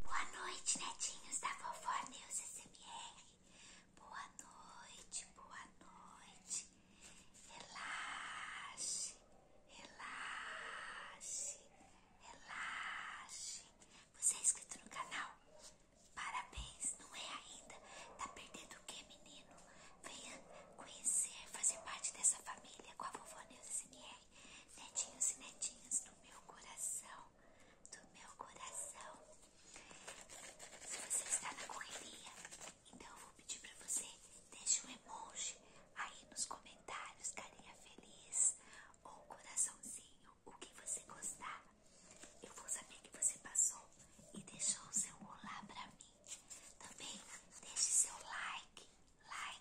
Boa noite, netinhos da vovó Neus SMR. Boa noite, boa noite. Relaxe, relaxe, relaxe. Você é inscrito no canal? Parabéns, não é ainda? Tá perdendo o que, menino? Venha conhecer, fazer parte dessa família com a vovó Neus SMR. Netinhos e netinhas do meu coração, do meu coração. Se você está na correria, então eu vou pedir para você deixe um emoji aí nos comentários, carinha feliz ou coraçãozinho, o que você gostar. Eu vou saber que você passou e deixou o seu olá para mim. Também tá deixe seu like, like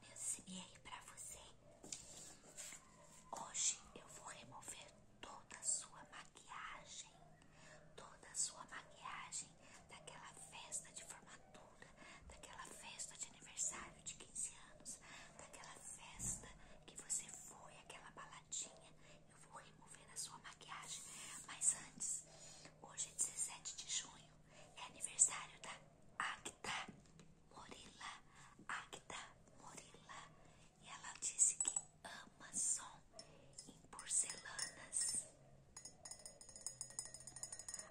olhos e pra você. Hoje eu vou remover toda a sua maquiagem, toda a sua maquiagem daquela festa de formatura, daquela festa de aniversário de 15 anos, daquela festa que você foi, aquela baladinha. Eu vou remover a sua maquiagem, mas antes, hoje é 17 de junho. É aniversário da Acta Morila. Acta Morila. E ela disse que ama som em porcelanas.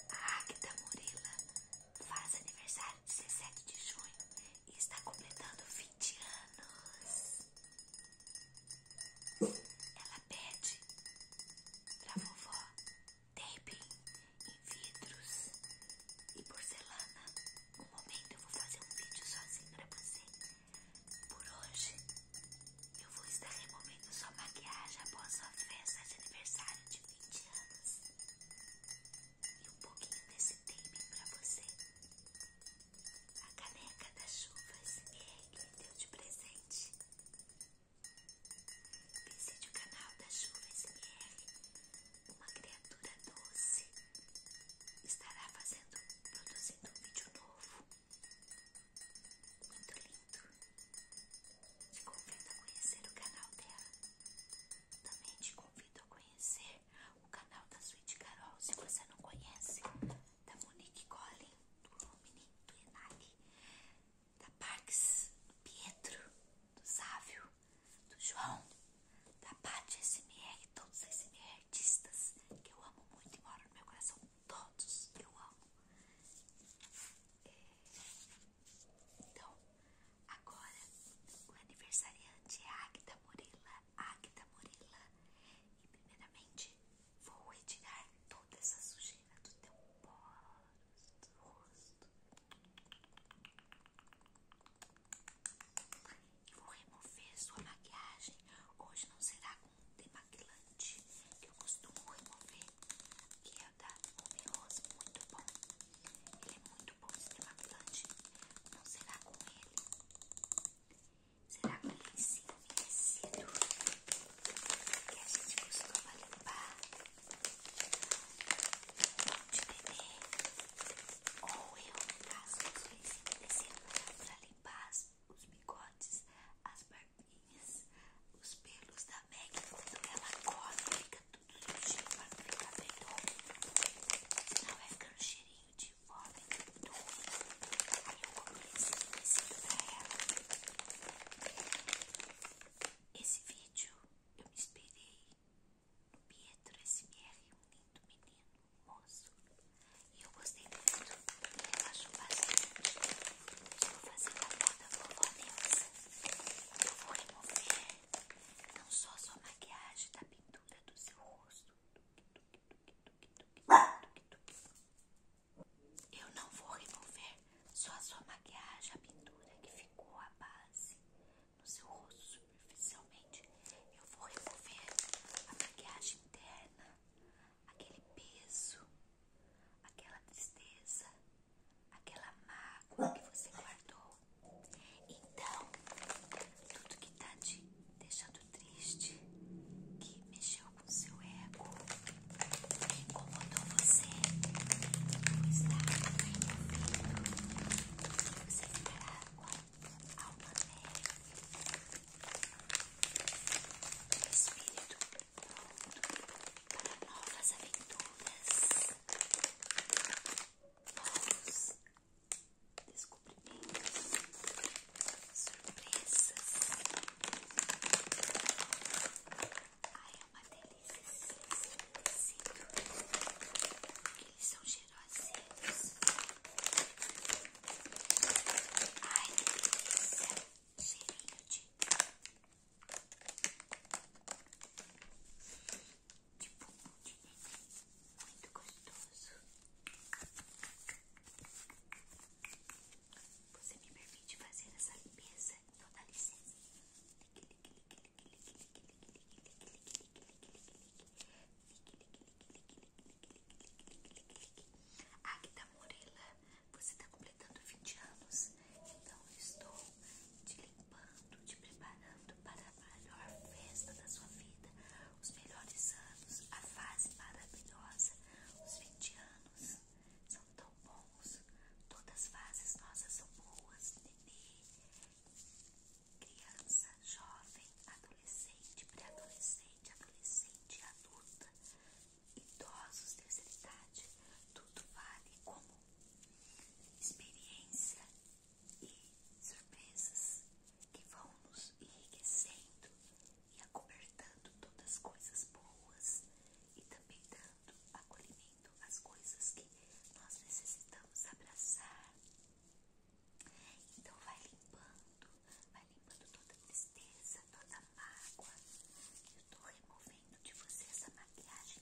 A Acta Morila faz aniversário 17 de junho e está completando 20 anos. Ela pede pra vovó taping em vidros e porcelana. Um momento eu vou fazer um vídeo sozinho pra você. Por hoje eu vou estar removendo sua maquiagem após sua festa de aniversário de 20 anos. E um pouquinho desse taping pra você. A caneca das chuvas que é deu de presente Visite o canal da Chuva SMR. Uma criatura doce estará fazendo, produzindo um vídeo novo. Muito lindo. Te convido a conhecer o canal dela. Também te convido a conhecer o canal da Sweet Carol, se você não conhece da Monique Collin, do Romini, do Enali, da Parks, do Pietro, do Sávio, do João, da Paty SMR, todos os SMR artistas que eu amo muito e moram no meu coração, todos eu amo. É, então, agora o aniversariante é Agda Morila, Agda Morila, e primeiramente Vou retirar toda essa sujeira do teu poros, do rosto. E vou remover sua maquiagem. Hoje não será com demaquilante que eu costumo remover, que é da Ruby Rose, muito bom. Ele é muito bom esse demaquilante. Não será com ele. Será que com lencinho tecido que a gente costuma limpar de bebê? Ou eu, no caso, uso lencinho tecido pra limpar os bigodes, as barbinhas, os pelos da Meg quando ela come, fica tudo sujinho pra não ficar bem Senão vai ficando cheirinho de fome e tudo. Aí eu comprei esse tecido pra ela. Esse vídeo eu me inspirei no Pietro SMR, um lindo menino, moço. E eu gostei muito, me relaxou bastante. Eu vou fazer a moda vovó Neuza. Eu vou remover não só sua maquiagem da pintura do seu rosto, eu não vou remover só a sua maquiagem, a pintura que ficou a base no seu rosto superficialmente. Eu vou remover a maquiagem interna, aquele peso, aquela tristeza, aquela mágoa que você guardou. Então, tudo que tá te deixando triste, que mexeu com seu ego, que incomodou você, está removido. Você ficará com a alma leve, o espírito pronto para novas aventuras. Novos descobrimentos, surpresas. Ai, é uma delícia Eles são cheirosinhos. Ai, delícia. Cheirinho de de bumbum de muito gostoso. Você me permite fazer essa limpeza? Então dá licença. Agda Morela, você está completando 20 anos, então eu estou te limpando, te preparando para a maior festa da sua vida, os melhores anos, a fase maravilhosa, os 20 anos são tão bons, todas as fases nossas são boas, nenê, criança, jovem, adolescente, pré-adolescente, adolescente, adulta, idosos, terceira idade, tudo vale como experiência e surpresas que vão nos enriquecendo e acobertando todas as coisas boas e também dando acolhimento às coisas que nós necessitamos abraçar. Então vai limpando, vai limpando toda tristeza, toda mágoa. Eu tô removendo de você essa maquiagem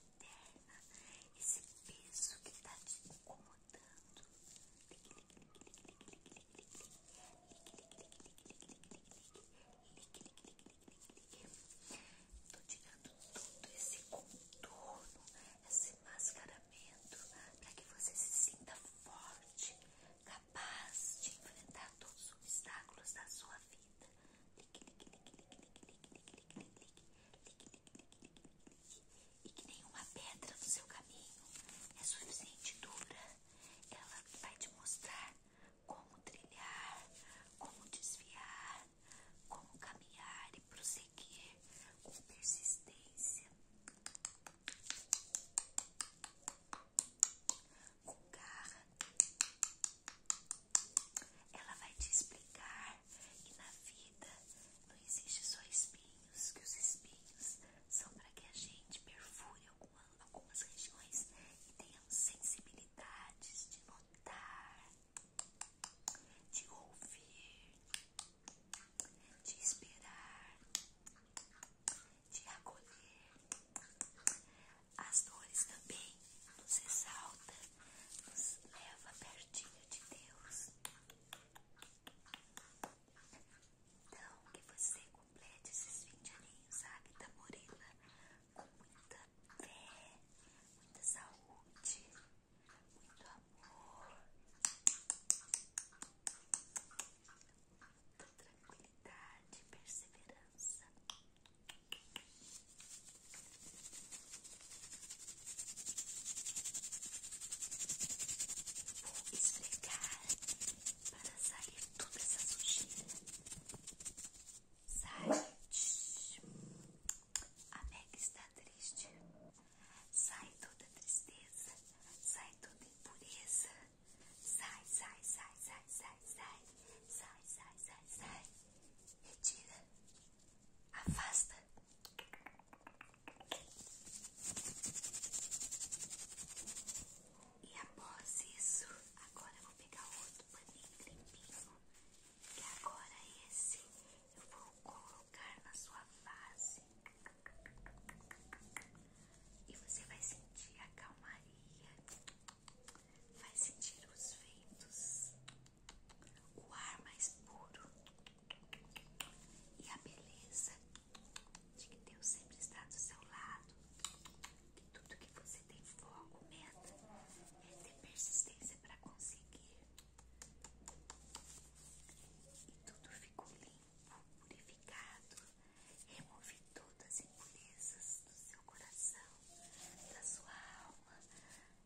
esse peso que está te incomodando. Ligue, ligue, ligue, ligue, ligue, ligue, ligue, ligue, ligue, ligue, ligue, ligue. Tô tirando todo esse contorno, esse mascaramento, para que você se sinta forte, capaz de enfrentar todos os obstáculos da sua vida. E que nenhuma pedra no seu caminho é suficiente dura. Ela vai te mostrar como trilhar, como desviar, como caminhar e prosseguir com persistência, com garra, ela vai te explicar que na vida não existe só espinhos, que os espinhos são para que a gente perfure algumas regiões e tenha sensibilidades de notar, de ouvir, de esperar, de acolher. As dores também nos exalta, nos leva pertinho de Deus. Então, que você complete esses 20 aninhos, sabe, da Morena, com muita fé, muita saúde, muito amor alto, tranquilidade, perseverança. Vou esfregar para sair toda essa sujeira. Sai. A Meg está triste. Sai toda tristeza. Sai toda impureza. Sai, sai, sai, sai, sai, sai. Sai, sai, sai, sai. Retira. Afasta. E após isso, agora eu vou pegar outro paninho limpinho. Que agora esse eu vou colocar na sua face e você vai sentir a calmaria, vai sentir os ventos, o ar mais puro e a beleza de que Deus sempre está do seu lado, que tudo que você tem foco, meta, é ter persistência para conseguir. E tudo ficou limpo, purificado Remove todas as impurezas do seu coração, da sua alma.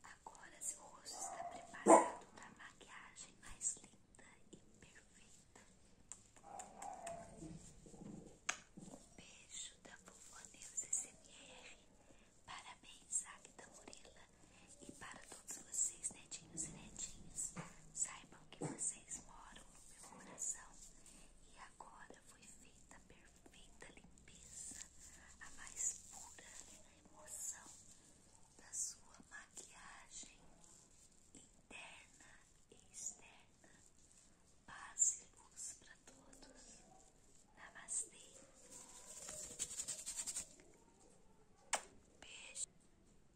Agora seu rosto está preparado para a maquiagem mais linda e perfeita. Um beijo da vovó Neuza SMR. Parabéns, Agda Murila. E para todos vocês, netinhos e netinhas, saibam que vocês moram no coração. E agora foi feita a perfeita limpeza, a mais pura emoção da sua maquiagem interna e externa. Paz e luz para todos. Namastê. Beijo.